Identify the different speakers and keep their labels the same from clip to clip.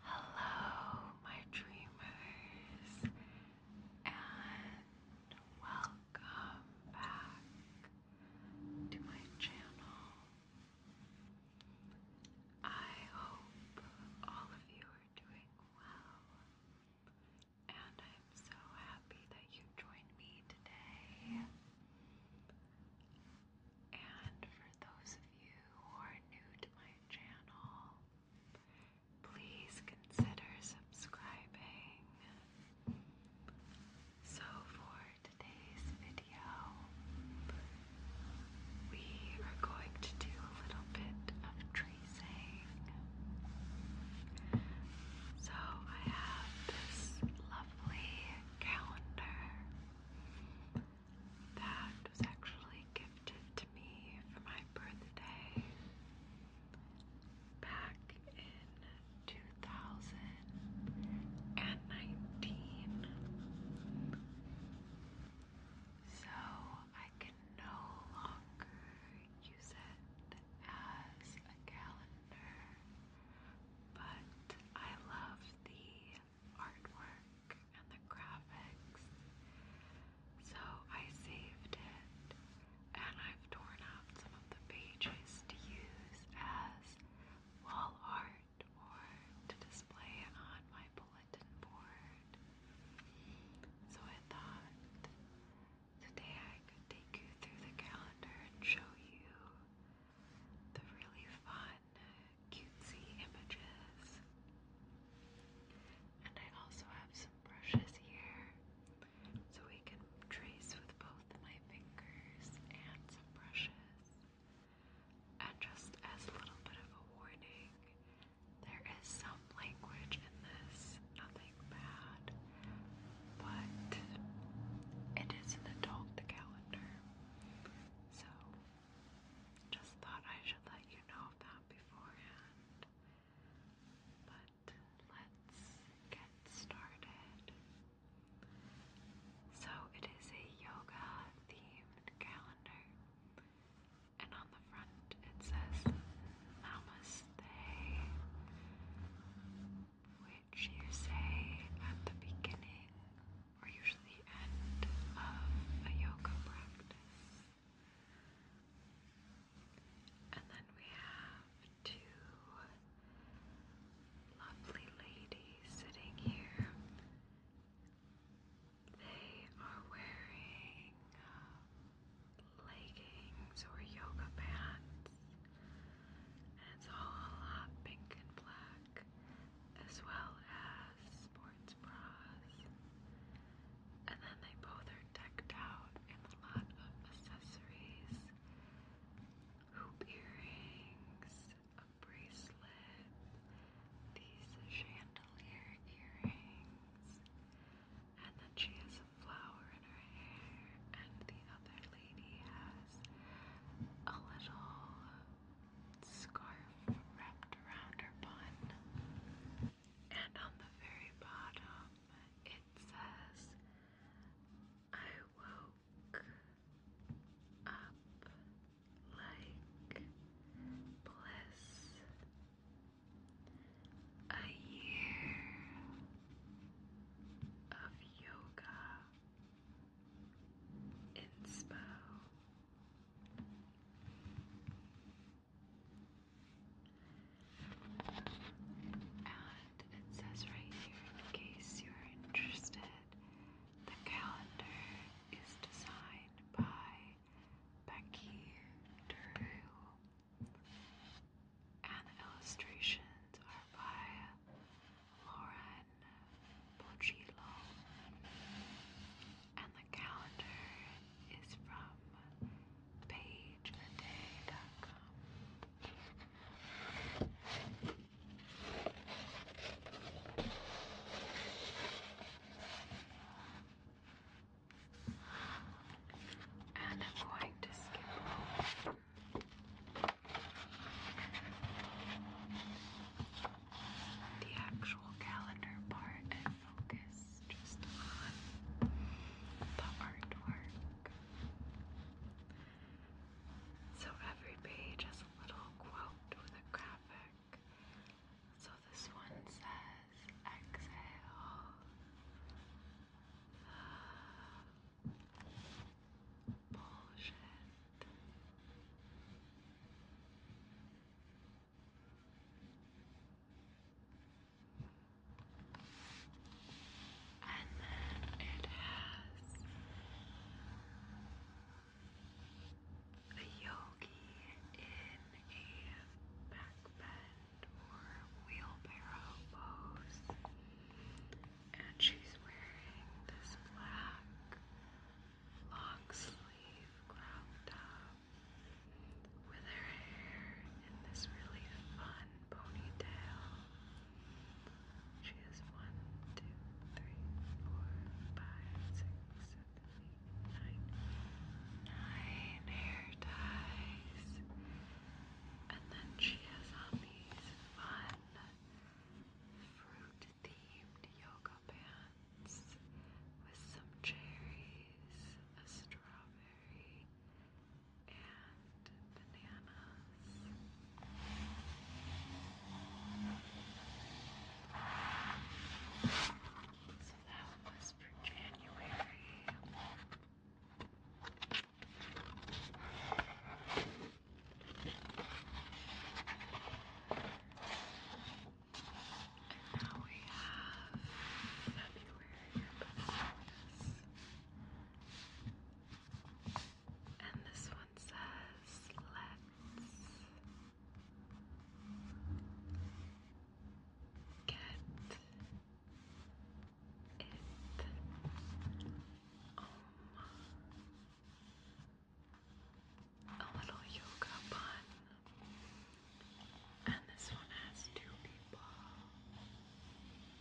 Speaker 1: Hello, my dreamers, and welcome back to my channel. I hope all of you are doing well, and I'm so happy that you joined me today. And for those of you who are new to my channel, please consider subscribing. So, for today's video, we are going to do a little bit of tracing. So, I have this lovely calendar that was actually gifted to me for my birthday back in 2019. So I can no longer use it as a calendar, but I love the artwork and the graphics. So I saved it and I've torn out some of the pages to use as wall art or to display on my bulletin board. So I thought today I could take you through the calendar and show you the really fun cutesy images. And I also have some brushes here so we can trace with both my fingers and some brushes. And just as a little bit of a warning, there is some language in this, nothing bad, but it is the dog the calendar. So, just thought I should let you know of beforehand. But let's get started. So, it is a yoga themed calendar, and on the front it says Namaste, which you say at the beginning we're usually the end of a yoga practice. And then we have two lovely ladies sitting here. They are wearing uh, leggings or yoga pants, and it's all a lot pink and black back, as well as sports bras. And then they both are decked out in a lot of accessories hoop earrings, a bracelet, these chandelier earrings, and then she has a flower in her hair, and the other lady has a little scarf wrapped around her bun. And on the very bottom, it says, I woke up like bliss. A year of yoga inspo. And it says right here, in case you're interested, the calendar is designed by Becky Drew, and the illustrations are by Lauren Pochilo. And the calendar is from pageaday.com. And I'm going to skip the actual calendar part and focus just on the artwork. So every page has a little quote with a graphic. So this one says, exhale. And then it has a yogi in a backbend or wheelbarrow pose. And she's wearing this black long sleeve crop with her hair in this really fun ponytail. She has one, two, three, four, five, six, seven, eight, nine, nine hair ties. And then she has on these fun fruit themed yoga pants with some cherries, a strawberry, and bananas. So that was for January. Now we have February And this one says, let's get it. Um, Oh, a little yoga bun. And this one has two people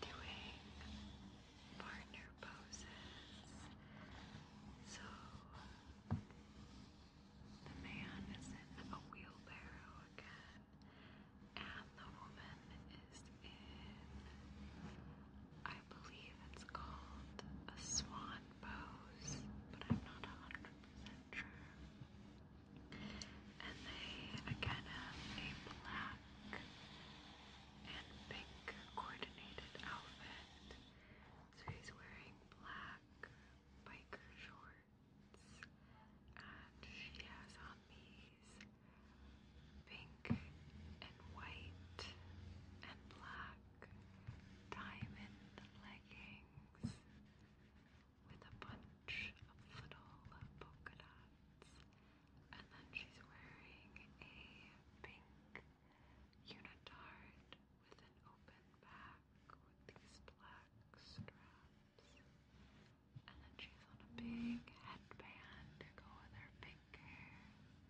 Speaker 1: doing partner poses. So the man is in a wheelbarrow again, and the woman is in I believe it's called a swan pose, but I'm not 100% sure. And they again have a black and pink coordinated outfit. So he's wearing black biker shorts, and she has on these pink and white and black diamond leggings with a bunch of little polka dots, and then she's wearing a pink unitard with an open back with these black straps, and then she's on a big headband to go with her pink hair.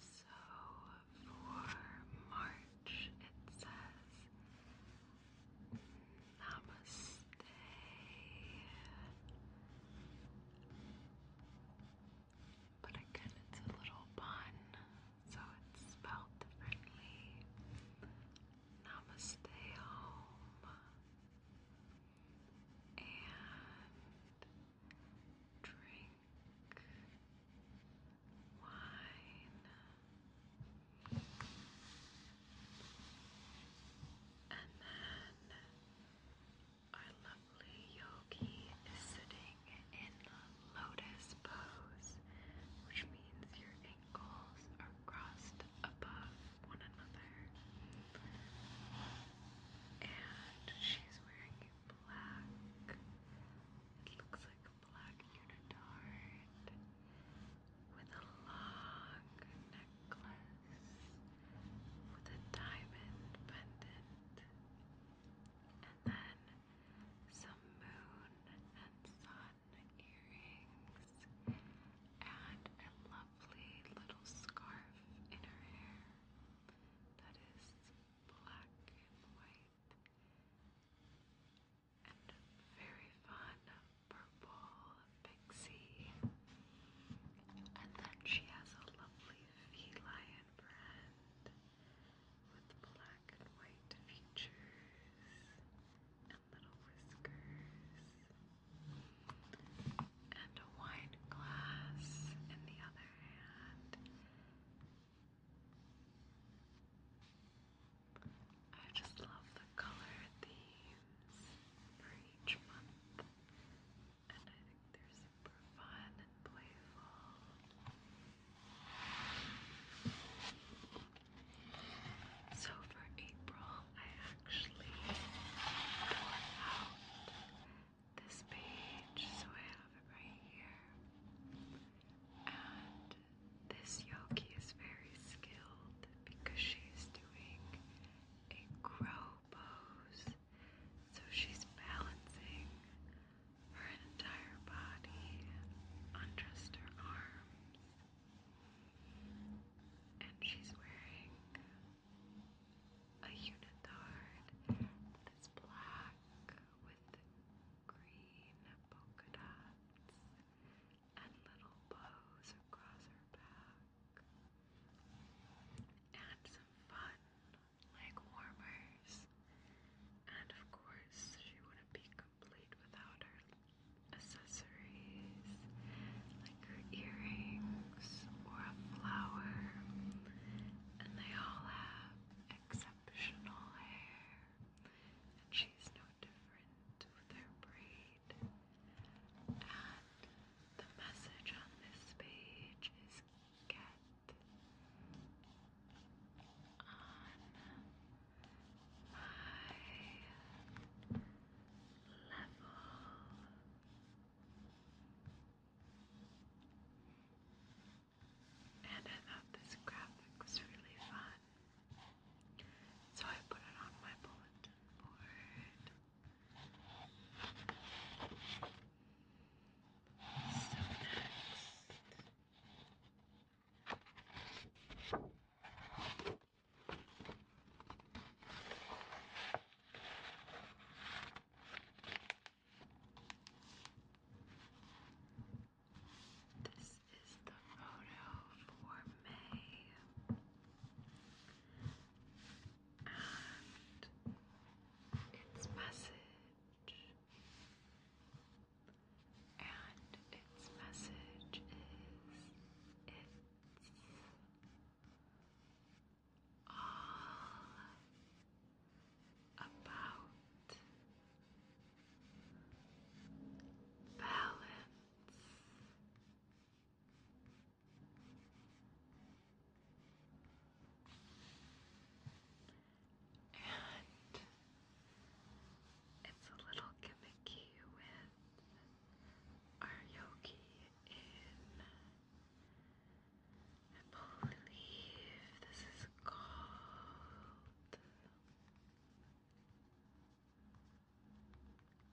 Speaker 1: So for March, it says Namaste. But again, it's a little pun, so it's spelled differently. Namaste And drink wine and then our lovely yogi is sitting in lotus pose which means your ankles are crossed above one another and she's wearing black. It looks like a black unitard with a long necklace with a diamond pendant, and then some moon and sun earrings, and a lovely little scarf in her hair that is black and white, and very fun purple pixie. And then she has a lovely feline brand with black and white features and little whiskers, and a wine glass in the other hand. I just love the color themes for each month, and I think they're super fun and playful. So for April, I actually tore out this page, so I have it right here. And this yoki is very skilled because she's doing a crow pose. So she's balancing her entire body on just her arms. And she's wearing a unitard that's black with green polka dots and little bows across her back, and some fun leg warmers. And of course, she wouldn't be complete without her accessories like her earrings or a flower, and they all have exceptional hair, and she's no different with her braid. And the message on this page is get on my level and I thought this graphic was really fun. So I put it on my bulletin board. So next. This is the photo for May. And its message. And its message is it's all about balance. And it's a little gimmicky with our yogi in I believe this is called.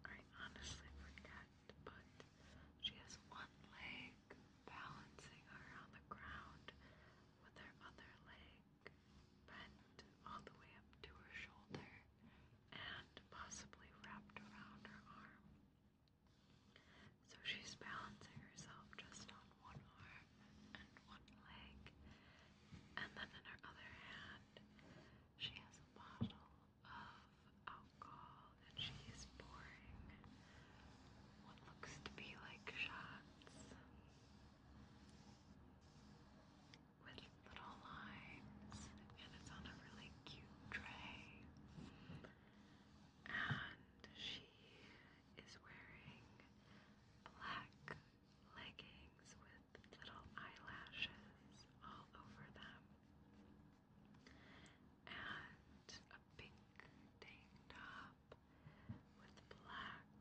Speaker 1: I honestly forget, but she has one leg balancing her on the ground with her other leg bent all the way up to her shoulder and possibly wrapped around her arm. So she's balancing herself just on one arm and one leg. And then in her other hand, she has a bottle of alcohol and she's pouring what looks to be like shots with little lines, and it's on a really cute tray. And she is wearing black leggings with little eyelashes all over them and a pink tank top with black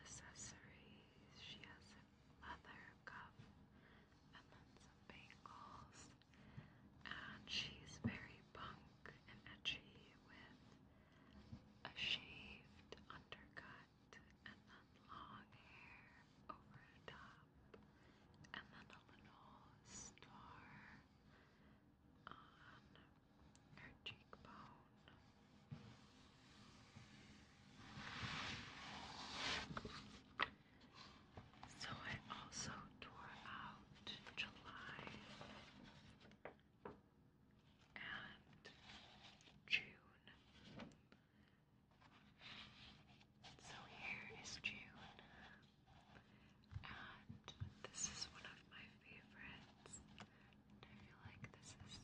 Speaker 1: accessories. She has a leather cuff and then some bangles. And she's very punk and edgy with a shaved undercut, and then long hair over the top, and then a little star on her cheekbone. So I also tore out July and June. So here is June, and this is one of my favorites. I feel like this is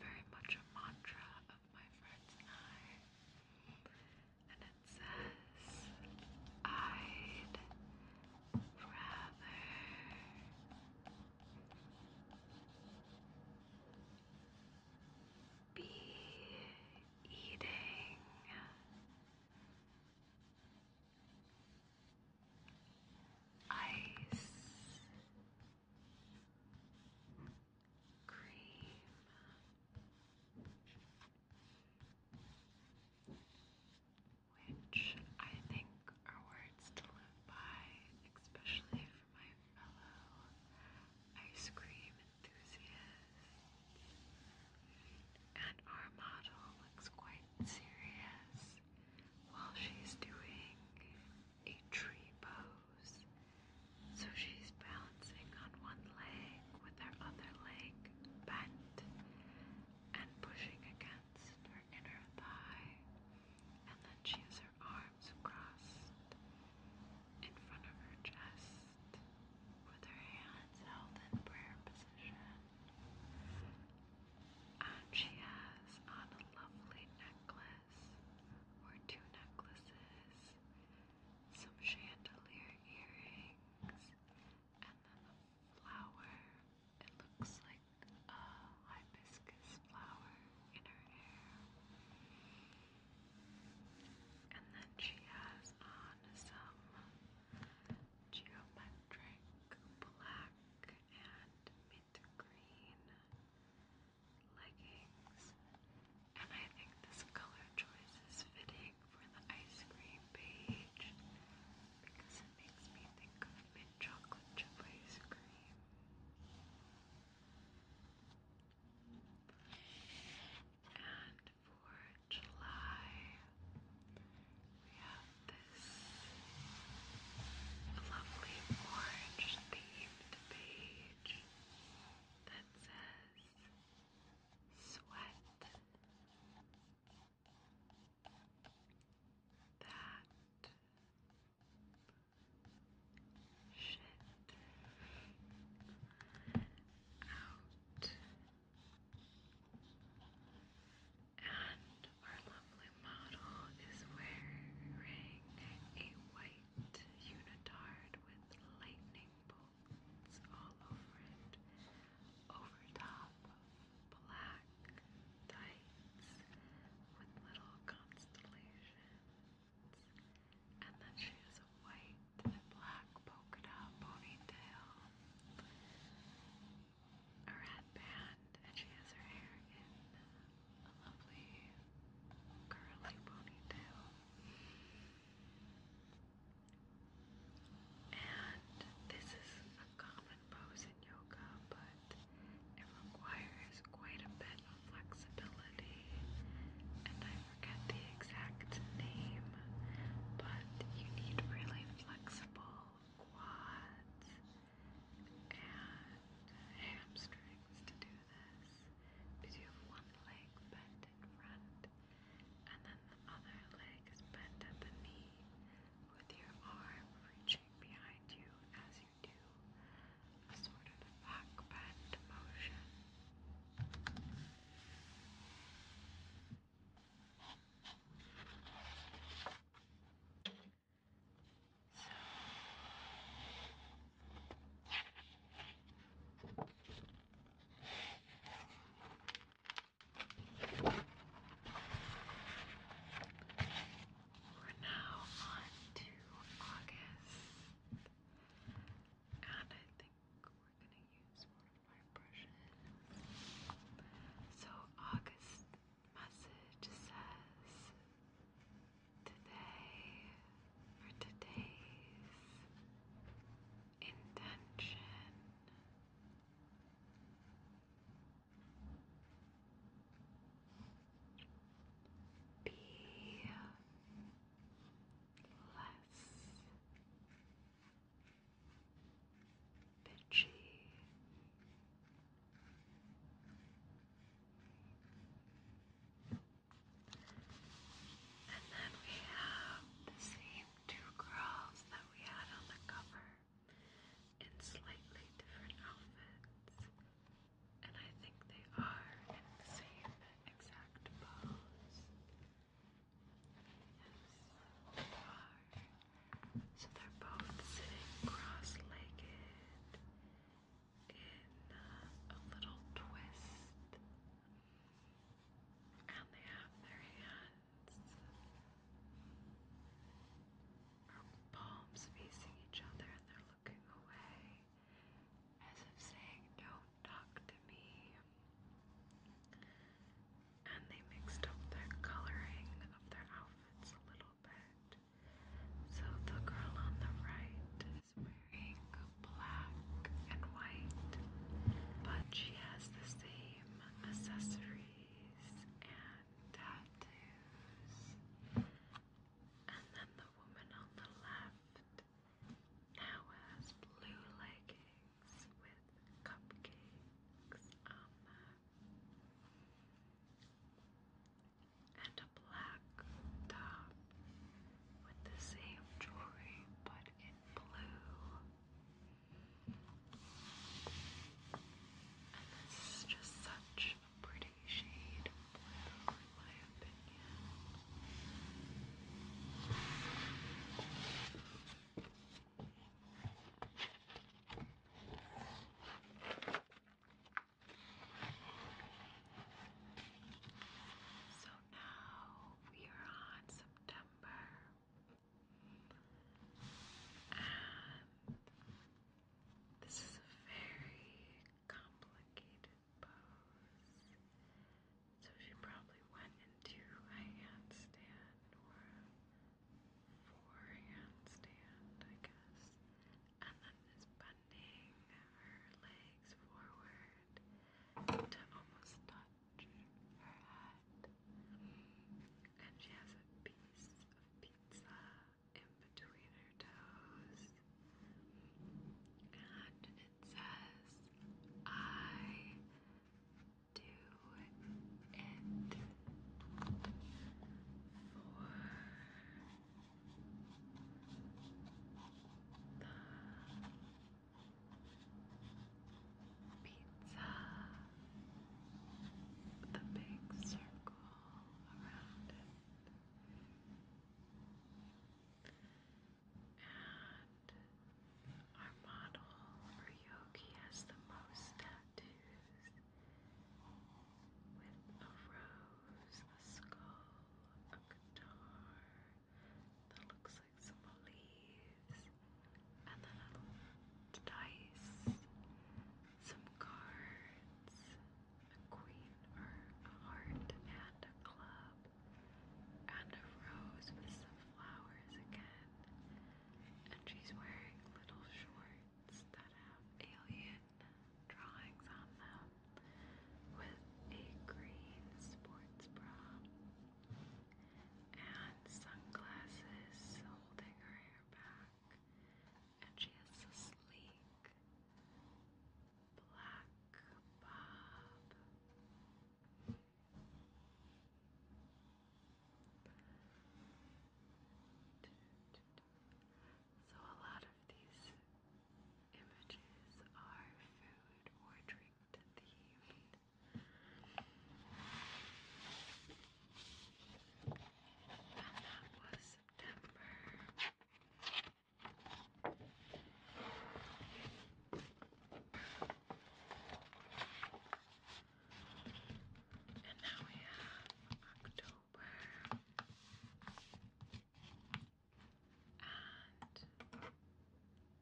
Speaker 1: very much a mantra of my friends and I. And it says, I'd rubber. Bee eating. Ice cream which I think are words to live by, especially for my fellow ice cream enthusiasts. And our model looks quite serious while she's doing a tree pose. So she's balancing on one leg with her other leg bent and pushing against her inner thigh, and then she has her arms crossed in front of her chest with her hands held in prayer position. And she has on a lovely necklace or two necklaces, some chandelier earrings, and then the flower it looks like a hibiscus flower in her hair. And then she has on some geometric black and mint green leggings. And I think this color choice is fitting for the ice cream page because it makes me think of mint chocolate chip ice cream. And for July, we have this lovely orange themed that says sweat that shit out. And our lovely model is wearing a white unitard with lightning bolts all over it, over top black tights with little constellations, and then she has a white and black polka dot ponytail, a headband, and she has her hair in a lovely curly ponytail. And this is a and in yoga, but it requires quite a bit of flexibility. And I forget the exact name, but you need really flexible quads and hamstrings to do this. Because you have one leg bent in front, and then the other leg is bent at the knee with your arm reaching touching behind you as you do a sort of backbend motion. So we're now on to August, and I think we're gonna use one of my brushes. So, August message says today for today's intention. Be less bitchy. And then we have the same two girls that we had on the cover in slightly different outfits, and I think they are in the same exact pose. Yes, they are. So they're both sitting cross-legged in uh, a little twist. And they have their hands palms facing each other and they're looking away as if saying, Don't talk to me. And they mixed up the coloring of their outfits a little bit. So the girl on the right is wearing black and white, but she has the same accessories tattoos. And then the woman on the left now has blue leggings with cupcakes on And a black top with the same jewelry but in blue. And this is just such pretty shade in my opinion. So now we are on September, and this is a very complicated pose. So she probably went into handstand or a four I guess. And then is bending her legs forward to almost touch her head. And she has a piece of pizza in between her toes. And it says, I do it for the pizza, the big circle all our model or has the most tattoos with a rose, a skull, a guitar that looks like some leaves, and then a dice some cards, a queen or a heart and a club, and a rose with some flowers again. And she's wearing little shorts that have alien drawings on them with a green sports bra and sunglasses holding her hair back and she has a sleek black bob. So a lot of these images are food or drink themed. And that was September. And now we have October and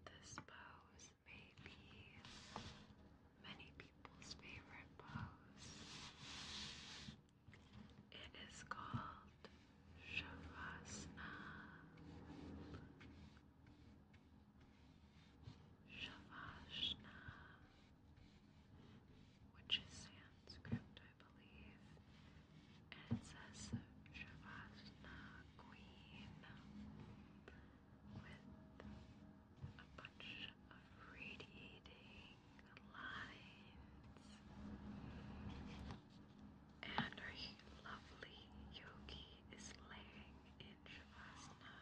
Speaker 1: this pose may be many people's favorite pose. It is called Shavasana. Shavasana, which is Sanskrit, I believe, and it says Shavasana Queen with a bunch of radiating and our lovely yogi is laying in Shavasana,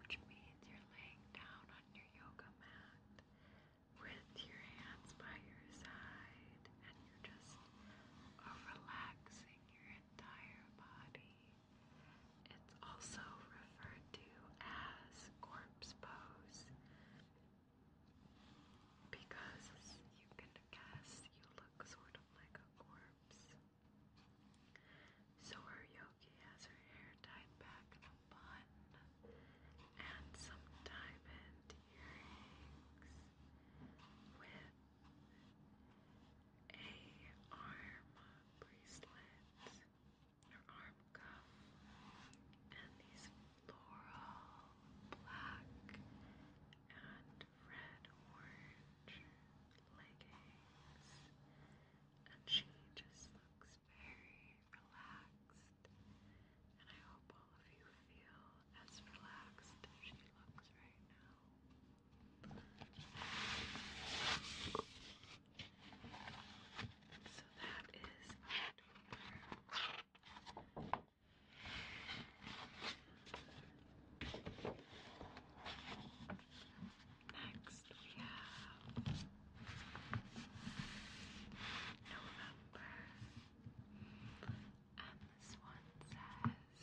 Speaker 1: which means you're laying down on your yoga mat with your hands by your side, and you're just relaxing your entire body. It's also referred to as corpse pose. Because, you can guess, you look sort of like a corpse. So her yogi has her hair tied back in a bun and some diamond earrings with a arm bracelet your arm cuff, and these floral black and red orange leggings. And she just looks very relaxed. And I hope all of you feel as relaxed as she looks right now. So that is our um, Next we have November. And this one says thankful.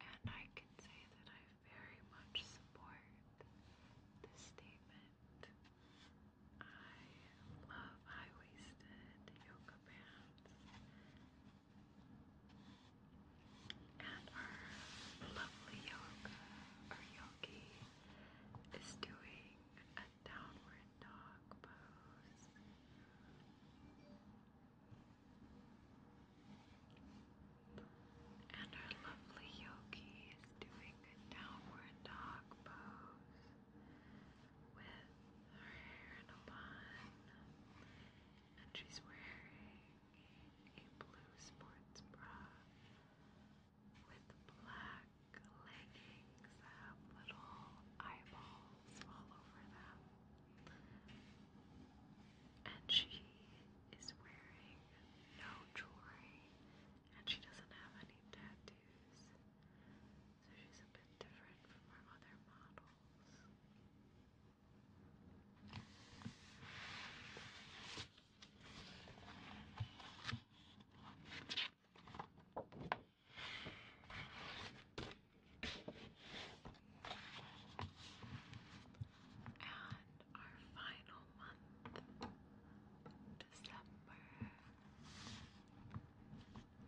Speaker 1: and I can say that I very much support this statement. I love high waisted yoga pants and our lovely yoga or yogi is doing a downward dog pose. And our lovely yogi is doing a downward dog pose with her hair in a bun. And she's wearing a blue sports bra with black leggings that have little eyeballs all over them. And she is wearing no jewelry, and she doesn't have any tattoos, so she's a bit different from our other models and our final month, December,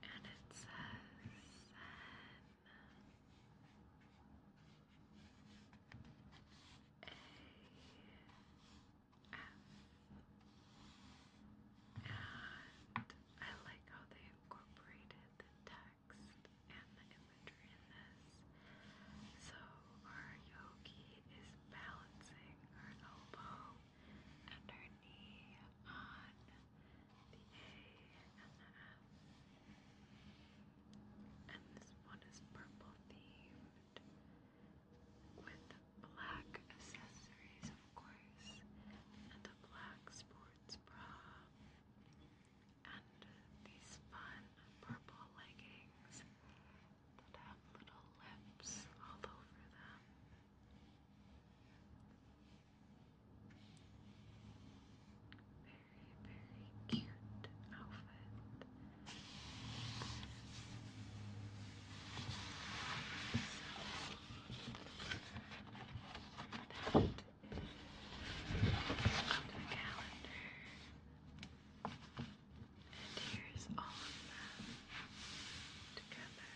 Speaker 1: and it says N A F, and I like how they incorporated the text and the imagery in this. So our yogi is balancing her elbow and her knee on the A and the F. And this one is purple themed with black accessories, of course, and the black sports bra and these fun purple leggings that have little lips all over them. Very, very cute outfit. So, that is the calendar. And here's all of them together.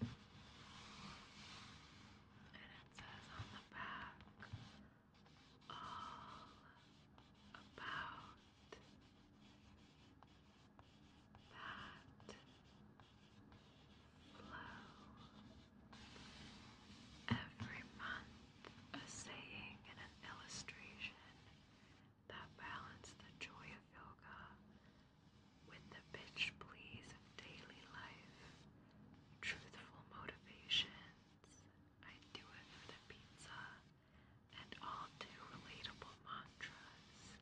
Speaker 1: And it says on the back all about that flow. Every month, a saying and an illustration that balance the joy of yoga with the bitch please of daily life, truthful motivations. I do it for the pizza and all too relatable mantras.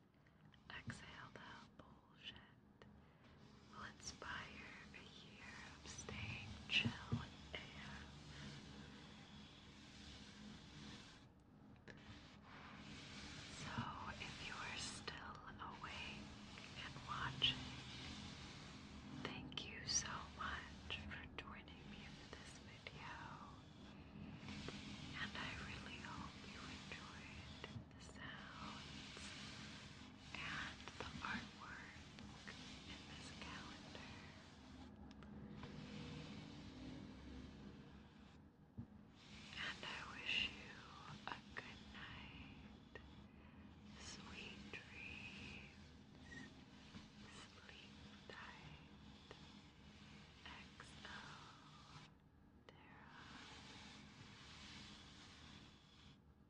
Speaker 1: Exhale the bullshit will inspire a year of staying chill So, if you are still awake and watching, thank you so much for joining me for this video. And I really hope you enjoyed the sounds and the artwork in this calendar. And I wish you a good night, sweet dreams, sleep tight, XO